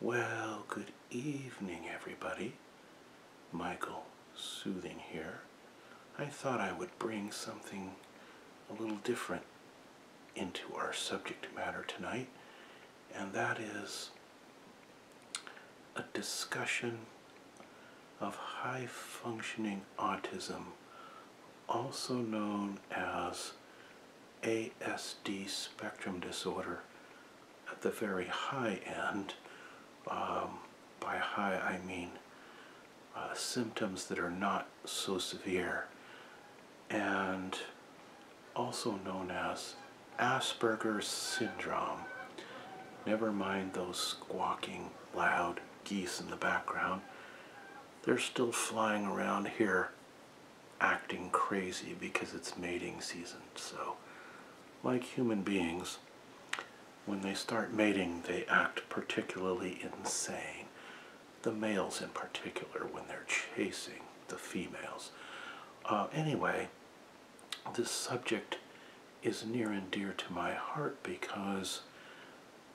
Well, good evening, everybody. Michael Soothing here. I thought I would bring something a little different into our subject matter tonight, and that is a discussion of high functioning autism also known as ASD spectrum disorder at the very high end. Um, by high, I mean uh, symptoms that are not so severe, and also known as Asperger's syndrome. Never mind those squawking loud geese in the background they're still flying around here acting crazy because it's mating season. So, like human beings, when they start mating, they act particularly insane. The males, in particular, when they're chasing the females. Uh, anyway, this subject is near and dear to my heart because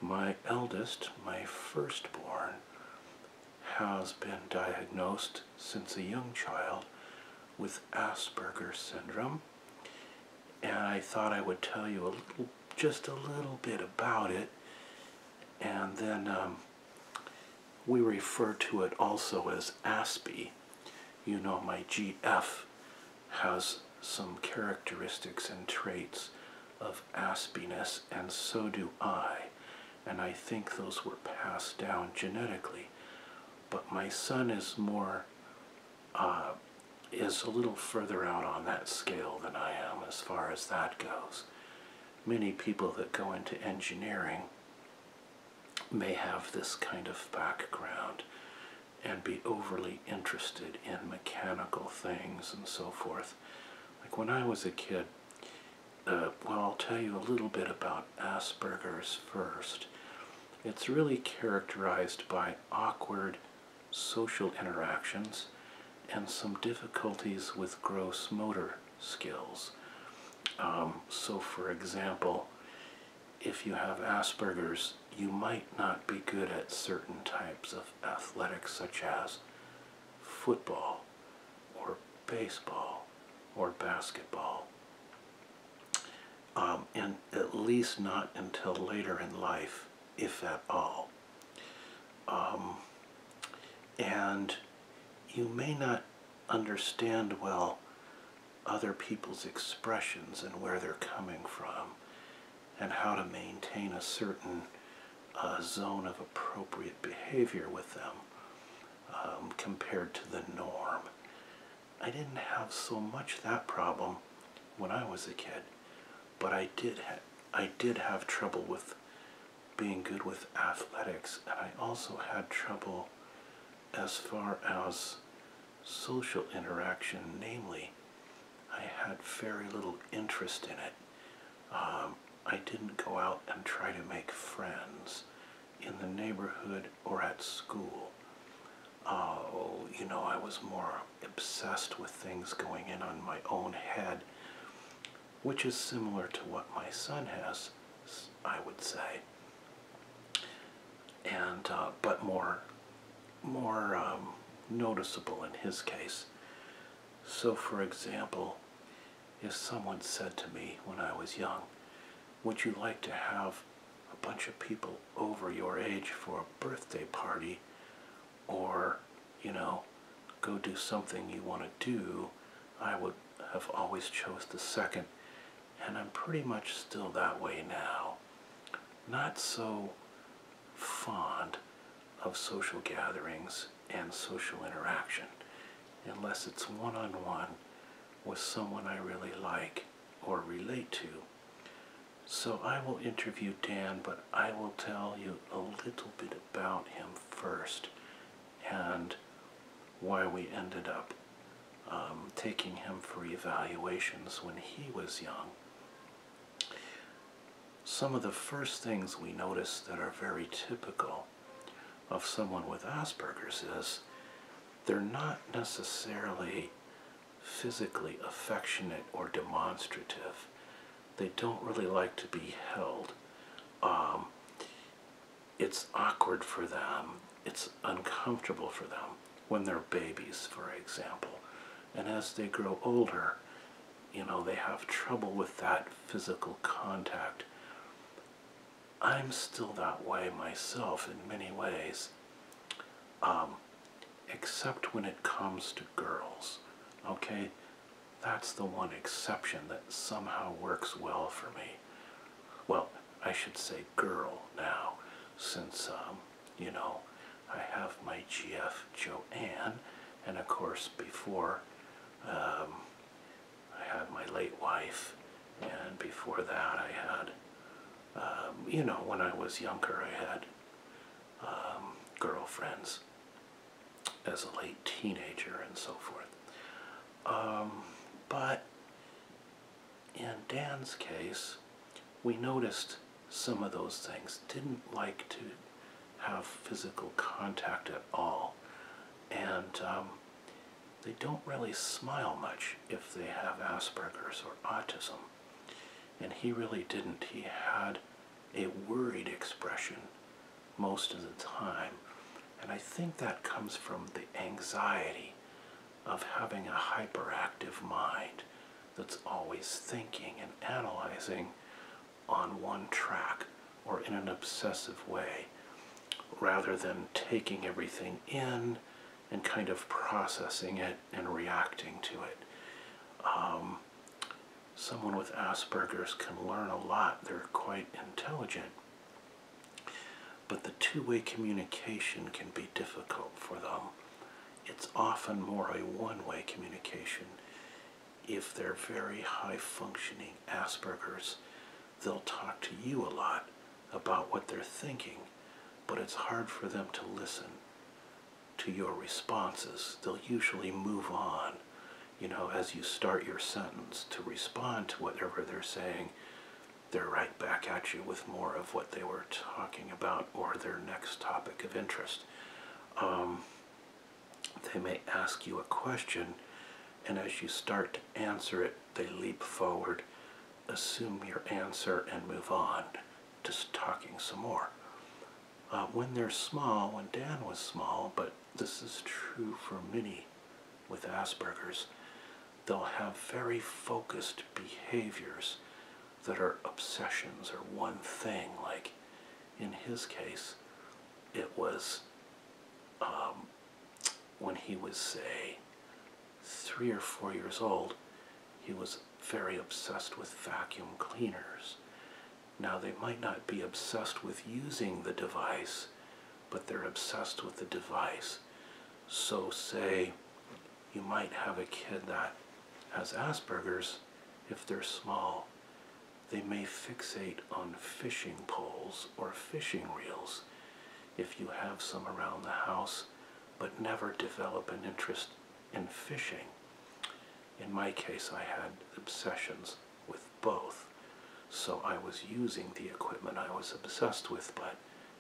my eldest, my firstborn, has been diagnosed since a young child with Asperger syndrome. And I thought I would tell you a little, just a little bit about it. And then um, we refer to it also as Aspie. You know, my GF has some characteristics and traits of aspiness, and so do I, and I think those were passed down genetically. But my son is more, uh, is a little further out on that scale than I am as far as that goes. Many people that go into engineering may have this kind of background and be overly interested in mechanical things and so forth. Like when I was a kid, uh, well, I'll tell you a little bit about Asperger's first. It's really characterized by awkward social interactions and some difficulties with gross motor skills. Um, so, for example, if you have Asperger's, you might not be good at certain types of athletics, such as football or baseball or basketball. Um, and at least not until later in life, if at all. Um, and you may not understand well other people's expressions and where they're coming from and how to maintain a certain uh, zone of appropriate behavior with them um, compared to the norm. I didn't have so much that problem when I was a kid, but I did I did have trouble with being good with athletics, and I also had trouble as far as social interaction, namely, I had very little interest in it. Um, I didn't go out and try to make friends in the neighborhood or at school. Oh, you know, I was more obsessed with things going in on my own head, which is similar to what my son has, I would say. And uh, but more, more um, noticeable in his case. So, for example, if someone said to me when I was young, Would you like to have a bunch of people over your age for a birthday party? Or, you know, go do something you want to do? I would have always chose the second, and I'm pretty much still that way now. Not so fond of social gatherings and social interaction unless it's one on one with someone I really like or relate to. So I will interview Dan, but I will tell you a little bit about him first and why we ended up um, taking him for evaluations when he was young some of the first things we notice that are very typical of someone with Asperger's is they're not necessarily physically affectionate or demonstrative. They don't really like to be held. Um, it's awkward for them. It's uncomfortable for them when they're babies, for example. And as they grow older, you know, they have trouble with that physical contact. I'm still that way myself in many ways, um, except when it comes to girls. Okay, that's the one exception that somehow works well for me. Well, I should say girl now, since, um, you know, I have my GF Joanne, and of course before um, I had my late wife, and before that I had, um, you know, when I was younger I had um, girlfriends as a late teenager and so forth. but in Dan's case, we noticed some of those things, didn't like to have physical contact at all. And um, they don't really smile much if they have Asperger's or autism. And he really didn't. He had a worried expression most of the time. And I think that comes from the anxiety of having a hyperactive mind that's always thinking and analyzing on one track or in an obsessive way rather than taking everything in and kind of processing it and reacting to it. Um, someone with Asperger's can learn a lot, they're quite intelligent. But the two way communication can be difficult for them. It's often more a one way communication if they're very high functioning Asperger's, they'll talk to you a lot about what they're thinking, but it's hard for them to listen to your responses. They'll usually move on, you know, as you start your sentence to respond to whatever they're saying. They're right back at you with more of what they were talking about or their next topic of interest. Um, they may ask you a question, and as you start to answer it, they leap forward, assume your answer, and move on just talking some more. Uh, when they're small, when Dan was small, but this is true for many with Asperger's, they'll have very focused behaviors that are obsessions or one thing, like in his case, it was um, when he was, say, three or four years old, he was very obsessed with vacuum cleaners. Now, they might not be obsessed with using the device, but they're obsessed with the device. So, say, you might have a kid that has Asperger's if they're small they may fixate on fishing poles or fishing reels if you have some around the house, but never develop an interest in fishing. In my case, I had obsessions with both, so I was using the equipment I was obsessed with, but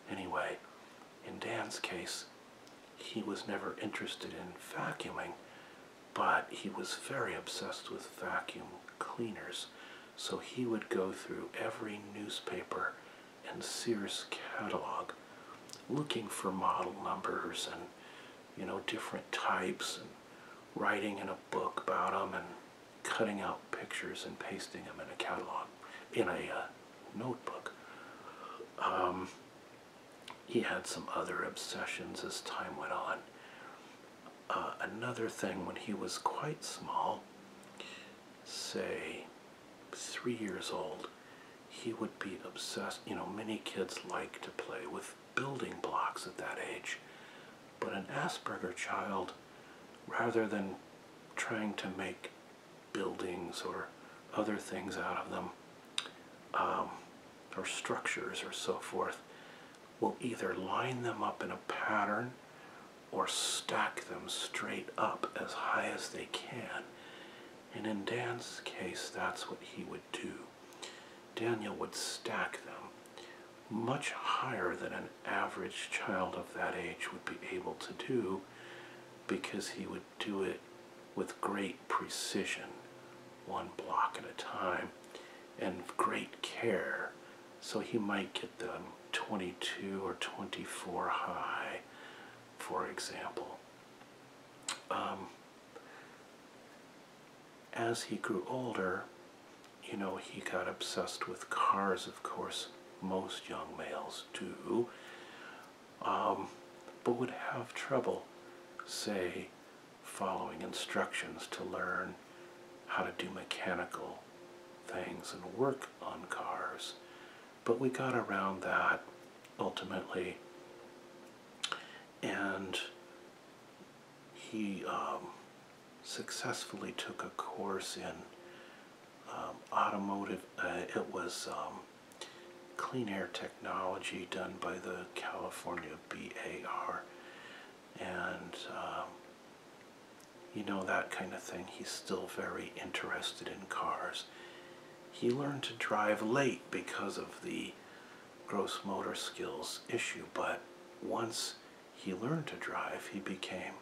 anyway, in Dan's case, he was never interested in vacuuming but he was very obsessed with vacuum cleaners, so he would go through every newspaper and Sears catalog looking for model numbers and, you know, different types and writing in a book about them and cutting out pictures and pasting them in a catalog, in a uh, notebook. Um, he had some other obsessions as time went on. Uh, another thing, when he was quite small, say three years old, he would be obsessed. You know, many kids like to play with building blocks at that age, but an Asperger child, rather than trying to make buildings or other things out of them, um, or structures or so forth, will either line them up in a pattern or stack them straight up as high as they can. And in Dan's case, that's what he would do. Daniel would stack them much higher than an average child of that age would be able to do because he would do it with great precision, one block at a time, and great care. So he might get them 22 or 24 high, for example. Um, as he grew older, you know, he got obsessed with cars, of course, most young males do. Um, but would have trouble, say, following instructions to learn how to do mechanical things and work on cars. But we got around that ultimately, and he um, successfully took a course in um, automotive, uh, it was clean air technology done by the California BAR. And, um, you know, that kind of thing. He's still very interested in cars. He learned to drive late because of the gross motor skills issue, but once he learned to drive, he became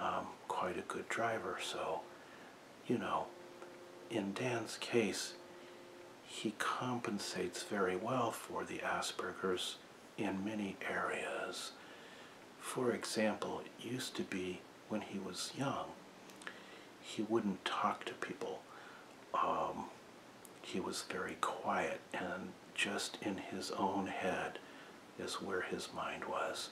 um, quite a good driver. So you know, in Dan's case, he compensates very well for the Asperger's in many areas. For example, it used to be when he was young, he wouldn't talk to people. Um, he was very quiet and just in his own head is where his mind was.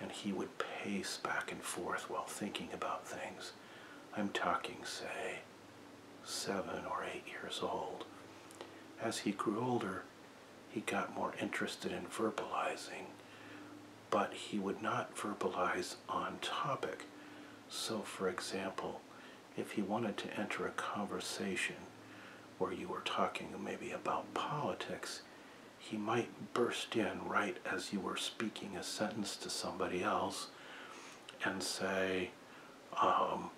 And he would pace back and forth while thinking about things. I'm talking, say, seven or eight years old. As he grew older, he got more interested in verbalizing, but he would not verbalize on topic. So, for example, if he wanted to enter a conversation where you were talking maybe about politics, he might burst in right as you were speaking a sentence to somebody else and say, um,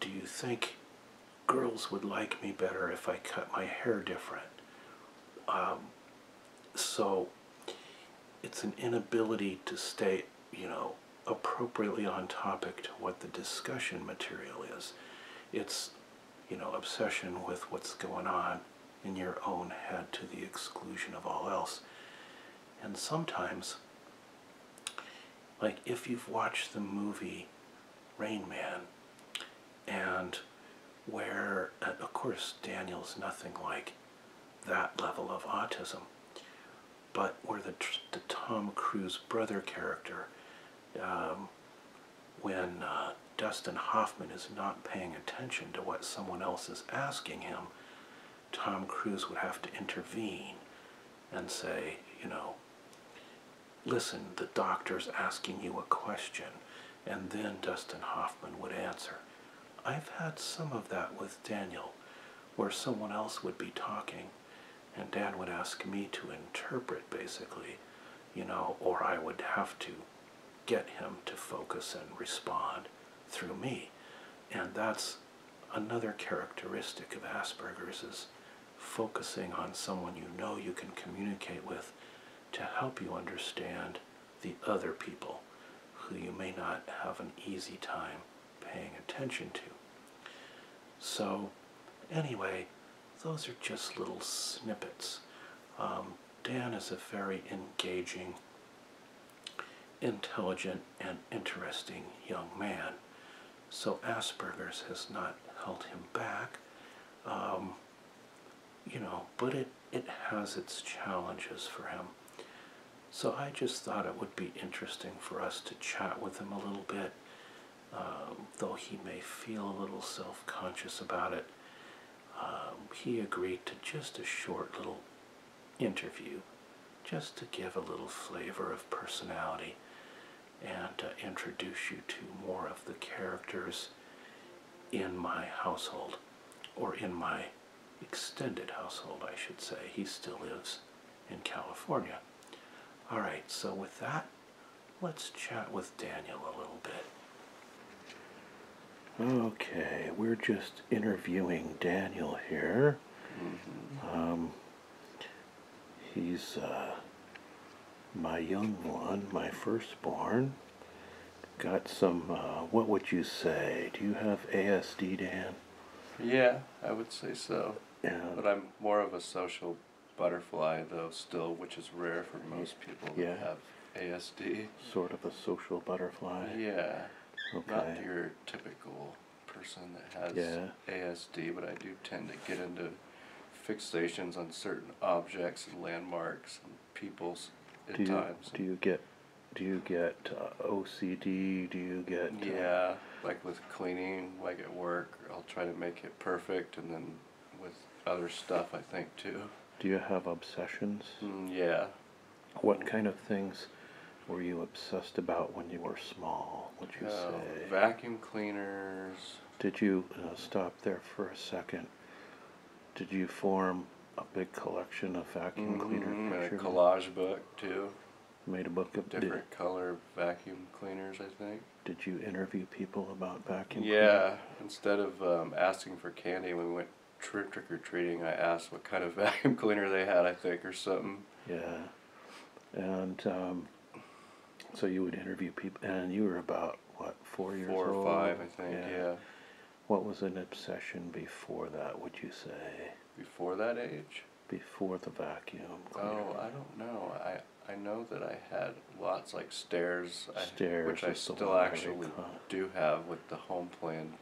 Do you think girls would like me better if I cut my hair different? Um, so it's an inability to stay, you know, appropriately on topic to what the discussion material is. It's, you know, obsession with what's going on in your own head to the exclusion of all else. And sometimes, like if you've watched the movie Rain Man, and where, uh, of course, Daniel's nothing like that level of autism, but where the, Tom Cruise brother character, um, when uh, Dustin Hoffman is not paying attention to what someone else is asking him, Tom Cruise would have to intervene and say, you know, listen, the doctor's asking you a question. And then Dustin Hoffman would answer. I've had some of that with Daniel, where someone else would be talking, and Dan would ask me to interpret, basically, you know, or I would have to get him to focus and respond through me. And that's another characteristic of Asperger's is focusing on someone you know you can communicate with to help you understand the other people who you may not have an easy time paying attention to. So anyway, those are just little snippets. Um, Dan is a very engaging, intelligent, and interesting young man. So Asperger's has not held him back. Um, you know, but it, it has its challenges for him. So I just thought it would be interesting for us to chat with him a little bit, um, though he may feel a little self-conscious about it. Um, he agreed to just a short little interview just to give a little flavor of personality and uh, introduce you to more of the characters in my household or in my extended household I should say he still lives in California all right so with that let's chat with Daniel a little bit Okay, we're just interviewing Daniel here. Mm-hmm. Um, he's uh, my young one, my firstborn. Got some, uh, what would you say? Do you have ASD, Dan? Yeah, I would say so. Yeah. But I'm more of a social butterfly, though, still, which is rare for most people yeah. ASD. Sort of a social butterfly. Yeah. Okay. Not your typical person that has ASD, but I do tend to get into fixations on certain objects and landmarks and peoples at times. Do you get do you get uh, OCD? Do you get uh, yeah, like with cleaning, like at work, I'll try to make it perfect, and then with other stuff, I think too. Do you have obsessions? Mm, yeah, what kind of things were you obsessed about when you were small? Would you uh, say vacuum cleaners? Did you uh, stop there for a second? Did you form a big collection of vacuum mm-hmm, cleaners? hmm A collage book too. Made a book of different color vacuum cleaners, I think. Did you interview people about vacuum? cleaners? Yeah, instead of um, asking for candy, we went trick or treating, I asked what kind of vacuum cleaner they had, I think, or something. Yeah, and um, so you would interview people, and you were about what four years four or five, I think. Yeah. What was an obsession before that? Would you say before that age? Before the vacuum. Oh, I don't know. I I know that I had lots like stairs, stairs which I still actually do have, the home plan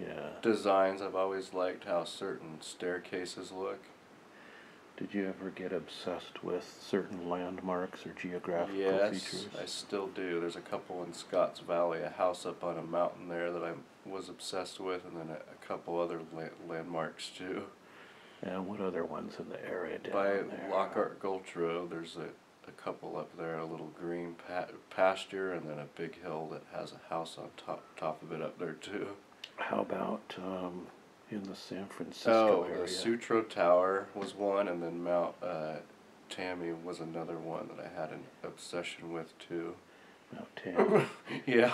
yeah. designs. I've always liked how certain staircases look. Did you ever get obsessed with certain landmarks or geographical yes, features? I still do. There's a couple in Scotts Valley, a house up on a mountain there that I was obsessed with, and then a, couple other landmarks too. And what other ones in the area down By Lockhart Gulch Road, there's a a couple up there, a little green pasture, and then a big hill that has a house on top top of it up there too. How about um, in the San Francisco oh, area? the Sutro Tower was one, and then Mount uh, Tammy was another one that I had an obsession with too. Mount Tammy. yeah.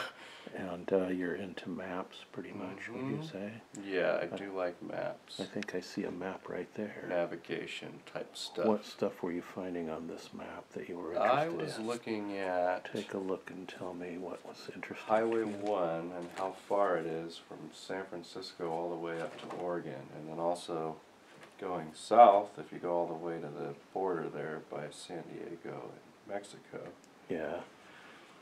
And uh, you're into maps pretty much, would you mm-hmm. say? Yeah, I do like maps. I think I see a map right there. navigation type stuff. What stuff were you finding on this map that you were interested I was looking at Take a look and tell me what was interesting. Highway 1 and how far it is from San Francisco all the way up to Oregon, and then also going south if you go all the way to the border there by San Diego and Mexico. Yeah.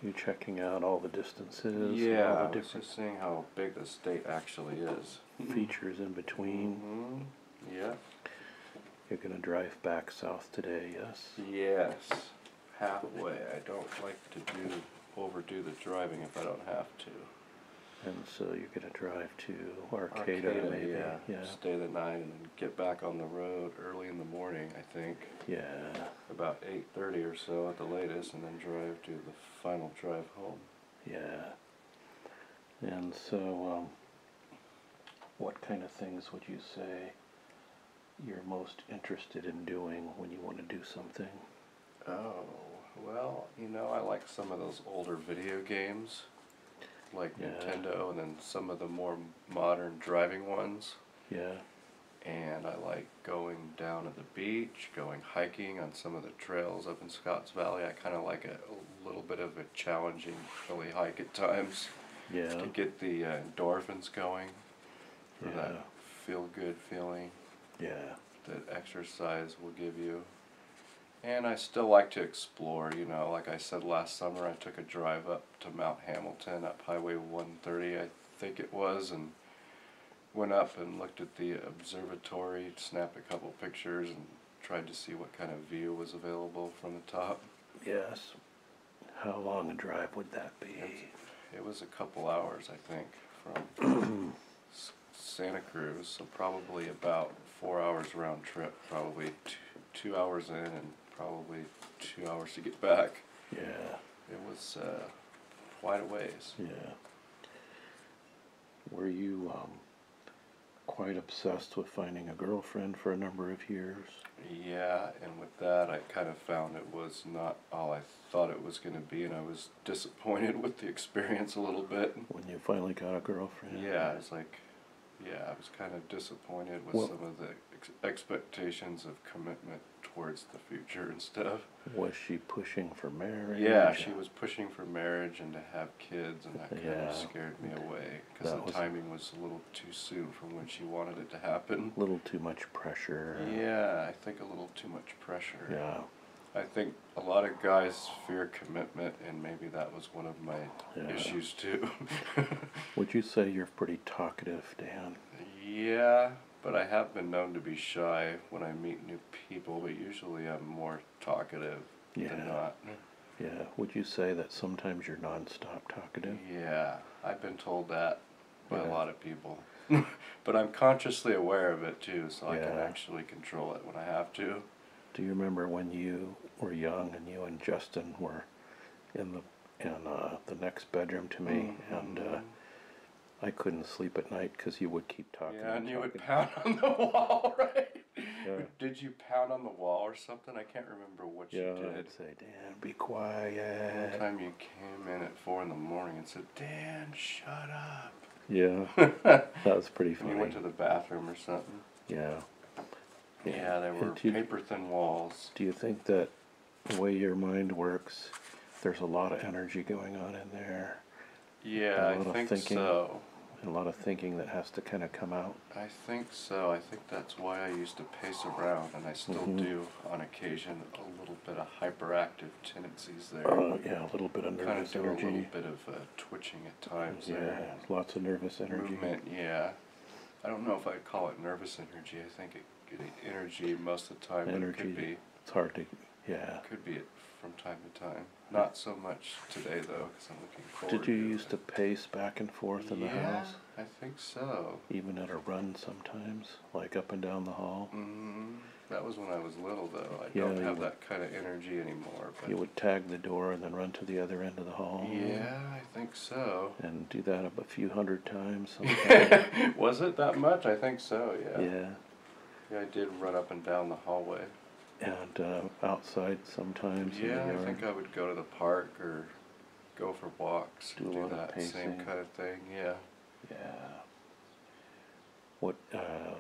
You checking out all the distances? yeah, just seeing how big the state actually is features in between. Mm-hmm. Yeah. You're going to drive back south today, yes? Yes. Halfway. I don't like to do overdo the driving if I don't have to. And so you're going to drive to Arcata, yeah. Stay the night and then get back on the road early in the morning, I think. Yeah. About 8:30 or so at the latest and then drive to the final drive home. Yeah. And so, um, what kind of things would you say you're most interested in doing when you want to do something? Oh, well, you know, I like some of those older video games, like Nintendo, and then some of the more modern driving ones. Yeah. And I like going down at the beach, going hiking on some of the trails up in Scotts Valley. I kind of like a, little bit of a challenging chilly hike at times. Yeah. To get the uh, endorphins going that feel good feeling. Yeah. That exercise will give you. And I still like to explore, you know, like I said last summer, I took a drive up to Mount Hamilton up Highway 130, I think it was, and went up and looked at the observatory, snapped a couple pictures, and tried to see what kind of view was available from the top. Yes. How long a drive would that be? It was a couple hours, I think, from Santa Cruz, so probably about four hours round trip, probably two, hours in and probably two hours to get back. Yeah. It was uh, quite a ways. Yeah. Were you um, quite obsessed with finding a girlfriend for a number of years? Yeah, and with that, I kind of found it was not all I thought it was going to be, and I was disappointed with the experience a little bit. When you finally got a girlfriend? Yeah, I was like, yeah, I was kind of disappointed with some of the ex expectations of commitment towards the future and stuff. Was she pushing for marriage? Yeah, she was pushing for marriage and to have kids, and that kind of scared me away because the timing was a little too soon from when she wanted it to happen. A little too much pressure. Yeah, I think a little too much pressure. Yeah. I think a lot of guys fear commitment, and maybe that was one of my issues too. Would you say you're pretty talkative, Dan? Yeah, but I have been known to be shy when I meet new people, but usually I'm more talkative yeah. Yeah. Would you say that sometimes you're nonstop talkative? Yeah. I've been told that by a lot of people. but I'm consciously aware of it too, so I can actually control it when I have to. Do you remember when you were young and you and Justin were in the in uh, the next bedroom to me, mm-hmm. and uh, I couldn't sleep at night because you would keep talking. Yeah, and, you would pound on the wall, right? Did you pound on the wall or something? I can't remember what you did. I'd say, Dan, be quiet. One time you came in at four in the morning and said, Dan, shut up. Yeah, that was pretty funny. you went to the bathroom or something. Yeah. Yeah, yeah there were you, paper thin walls. Do you think that the way your mind works, there's a lot of energy going on in there? Yeah, I think thinking, so. A lot of thinking that has to kind of come out. I think so. I think that's why I used to pace around, and I still mm-hmm. do on occasion. A little bit of hyperactive tendencies there. Oh yeah, a little bit of kind of energy. A little bit of uh, twitching at times. Yeah, lots of nervous energy. Movement. Yeah, I don't know if I call it nervous energy. I think it, energy most of the time. Energy. It could be. It's hard to yeah. Could be it from time to time. Not so much today though, because I'm looking Did you to used to pace back and forth in the yeah, house? I think so. Even at a run sometimes, like up and down the hall. Mm-hmm. That was when I was little though. I don't have that kind of energy anymore. you would tag the door and then run to the other end of the hall. Yeah, I think so. And do that a few hundred times. was it that much? I think so. Yeah. Yeah. Yeah, I did run up and down the hallway. and uh, outside sometimes Yeah, I think I would go to the park or go for walks, Do and do that same kind of thing. Yeah. Yeah. What uh,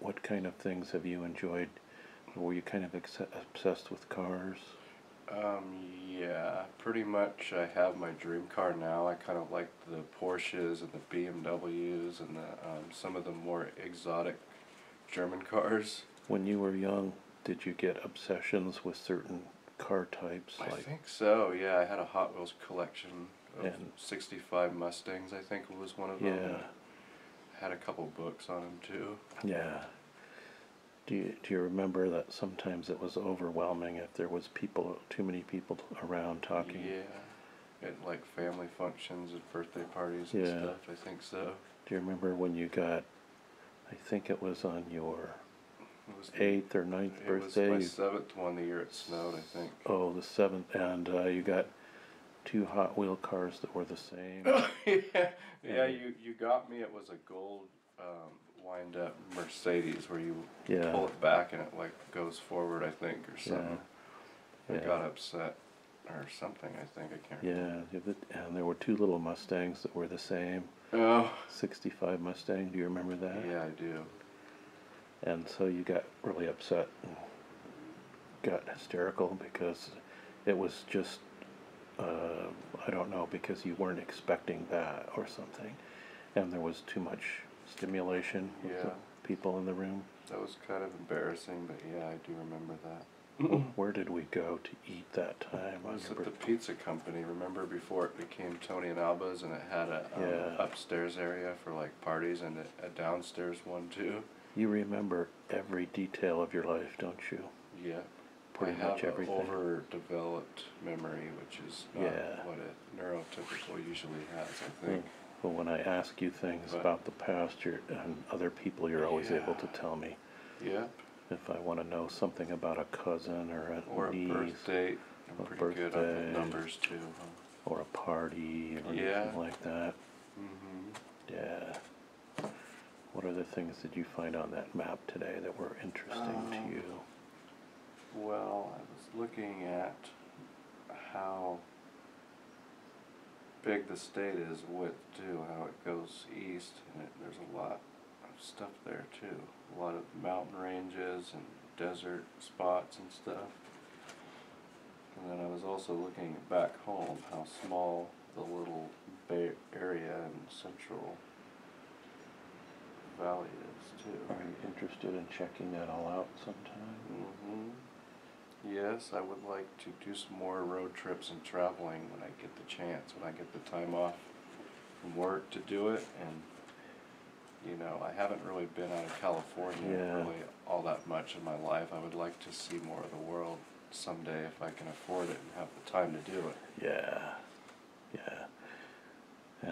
what kind of things have you enjoyed? Were you kind of obsessed with cars? Um, yeah, pretty much I have my dream car now. I kind of like the Porsches and the BMWs and um, some of the more exotic German cars. When you were young, did you get obsessions with certain car types? I think so. Yeah, I had a Hot Wheels collection of '65 Mustangs. I think was one of them. Yeah. Had a couple books on them too. Yeah. Do you, do you remember that sometimes it was overwhelming if there was people too many people around talking? Yeah at like family functions and birthday parties and stuff. I think so. Do you remember when you got? I think it was on your eighth or ninth birthday. It was my seventh one the year it snowed. I think. Oh, the seventh, and uh, you got two Hot Wheel cars that were the same. yeah, yeah. You you got me. It was a gold um, wind up Mercedes where you pull it back and it like goes forward. I think or something. I got upset or something, I think. I can't remember. Yeah, and there were two little Mustangs that were the same. Oh, sixty-five Mustang, do you remember that? Yeah, I do. And so you got really upset and got hysterical because it was just, uh, I don't know, because you weren't expecting that or something. And there was too much stimulation with the people in the room. That was kind of embarrassing, but yeah, I do remember that. Where did we go to eat that time? was it the pizza company. Remember before it became Tony and Alba's, and it had a um, upstairs area for like parties and a, downstairs one too. You remember every detail of your life, don't you? Yeah, Pretty much everything. overdeveloped memory, which is Yeah. what it neurotypical usually has, I think. But when I ask you things about the past, you're, and other people, you're always able to tell me. Yep. If I want to know something about a cousin or Or a a niece birth date. I'm pretty good on numbers too. or a party or Yeah. anything like that, Mm-hmm. yeah. What other things did you find on that map today that were interesting to um, you? Well, I was looking at how big the state is with too, how it goes east, and there's a lot of stuff there too. A lot of mountain ranges and desert spots and stuff. And then I was also looking back home, how small the little bay area in Central Valley is too. Are you interested in checking that all out sometime? Mm-hmm. Yes, I would like to do some more road trips and traveling when I get the chance, when I get the time off from work to do it. And, you know, I haven't really been out of California really all that much in my life. I would like to see more of the world someday if I can afford it and have the time to do it. Yeah, yeah.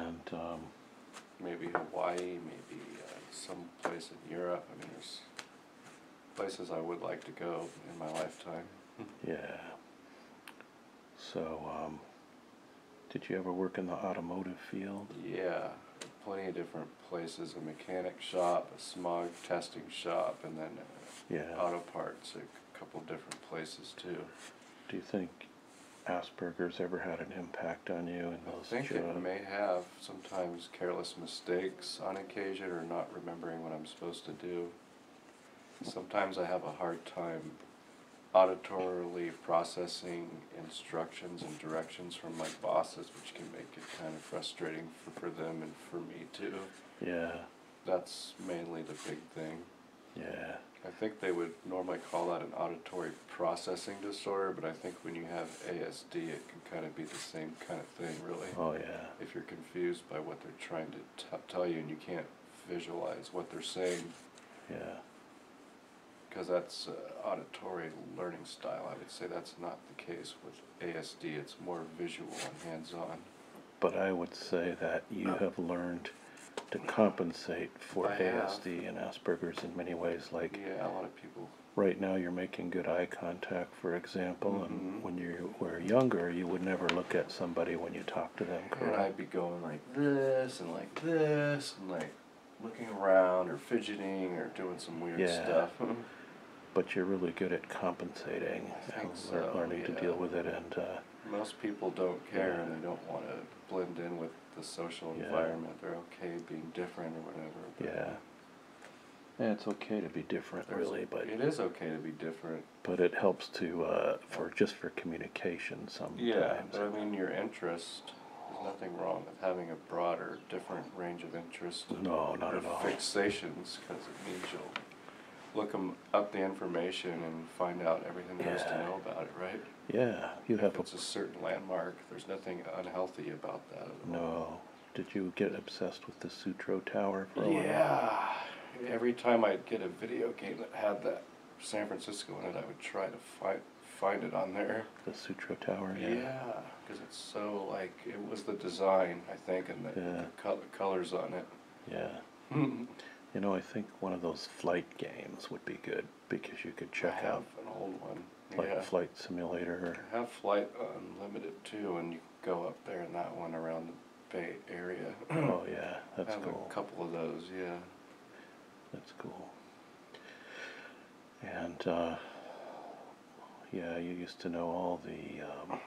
And um, maybe Hawaii, maybe uh, someplace in Europe. I mean, there's places I would like to go in my lifetime. Yeah. So, um, did you ever work in the automotive field? Yeah, plenty of different places a mechanic shop, a smog testing shop, and then uh, yeah. auto parts, a couple different places too. Do you think Asperger's ever had an impact? on you and I think it may have sometimes careless mistakes on occasion or not remembering what I'm supposed to do. Sometimes I have a hard time auditorily processing instructions and directions from my bosses, which can make it kind of frustrating for them and for me too. Yeah. That's mainly the big thing. Yeah. I think they would normally call that an auditory processing disorder, but I think when you have ASD, it can kind of be the same kind of thing, really. Oh, yeah. If you're confused by what they're trying to tell you and you can't visualize what they're saying. Yeah. Because that's uh, auditory learning style. I would say that's not the case with ASD. It's more visual and hands-on. But I would say that you have learned to compensate for ASD and Asperger's in many ways, like yeah, a lot of people right now you're making good eye contact, for example, and mm-hmm. when you were younger, you would never look at somebody when you talk to them, correct? I'd be going like this and like this and like looking around or fidgeting or doing some weird yeah. stuff. but you're really good at compensating and so, learning to deal with it. And uh, most people don't care and they don't want to blend in with the social environment. They're okay being different or whatever. Yeah. Yeah, it's okay to be different, really, but it is okay to be different. But it helps to uh, for just for communication sometimes. Yeah, I mean your interest. There's nothing wrong with having a broader, different range of interests. No, not at all. Fixations, because it means you'll look up the information and find out everything there yeah. to know about it, right? Yeah, you have a. it's a certain landmark, there's nothing unhealthy about that No. Did you get obsessed with the Sutro Tower for a while? Yeah. Every time I'd get a video game that had that San Francisco in it, I would try to find find it on there. The Sutro Tower, yeah. because it's so like it was the design I think and the, Yeah. colors on it. Yeah. You know, I think one of those flight games would be good because you could check out an old one. like yeah. Flight Simulator. I have Flight Unlimited too, and you go up there in that one around the Bay Area. oh yeah, that's I have A couple of those, yeah. That's cool. And uh, yeah, you used to know all the um,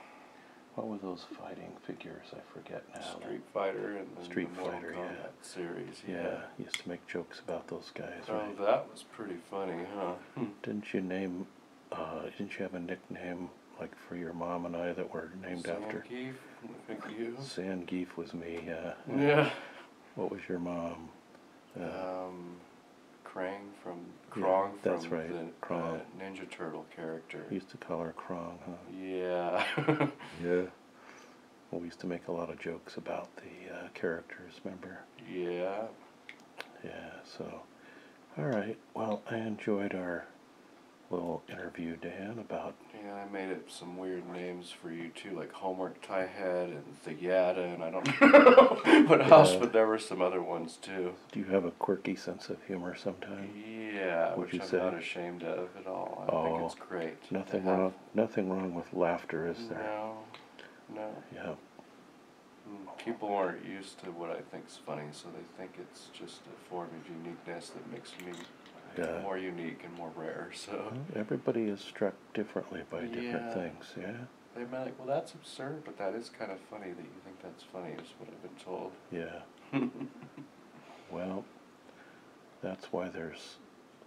what were those fighting figures? I forget now. Street Fighter and Street Fighter, yeah series. Yeah, used to make jokes about those guys. Oh, that was pretty funny, huh? Hmm. Didn't you name? Uh, didn't you have a nickname like for your mom and I that were named Sand after? Geef, Sand Geef was me. Yeah. Yeah. What was your mom? Uh, um, Krang from Krang that's from right. The, Ninja Turtle character. Used to call her Krang, huh? Yeah. yeah. We used to make a lot of jokes about the uh, characters, remember? Yeah. Yeah, so, all right. Well, I enjoyed our little interview, Dan, about. Yeah, I made up some weird names for you too, like Homework Tiehead and The Yada, and I don't know. but else, but there were some other ones too. Do you have a quirky sense of humor sometimes? Yeah, Would which you I'm not ashamed of at all. oh, great. Nothing wrong. Nothing wrong with laughter, is there? No. No. Yeah. Hmm, people aren't used to what I think's funny, so they think it's just a form of uniqueness that makes me more unique and more rare. So everybody is struck differently by different things. Yeah. They might like, well, that's absurd, but that is kind of funny that you think that's funny. Is what I've been told. Yeah. well, that's why there's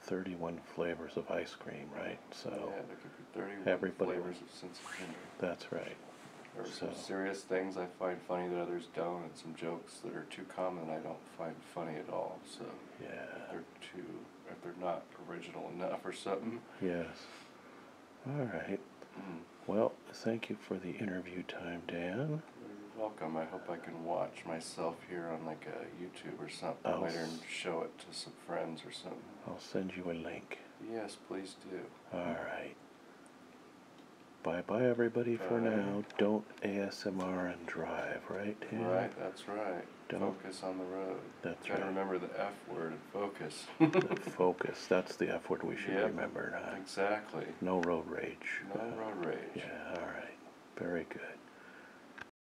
31 flavors of ice cream, right? So yeah, there could be 31 flavors of sense That's right. There some serious things I find funny that others don't, and some jokes that are too common I don't find funny at all. So yeah, they're too if they're not original enough or something. Yes. All right. Mm-hmm. Well, thank you for the interview time, Dan. You're welcome. I hope I can watch myself here on like a YouTube or something oh, later and show it to some friends or something. I'll send you a link. Yes, please do. All right. Bye bye, everybody, for now. Don't ASMR and drive, right? Right, that's right. Don't. Focus on the road. That's Gotta remember the F word focus. focus, that's the F word we should remember. Huh? Exactly. No road rage. No road rage. Yeah, all right. Very good.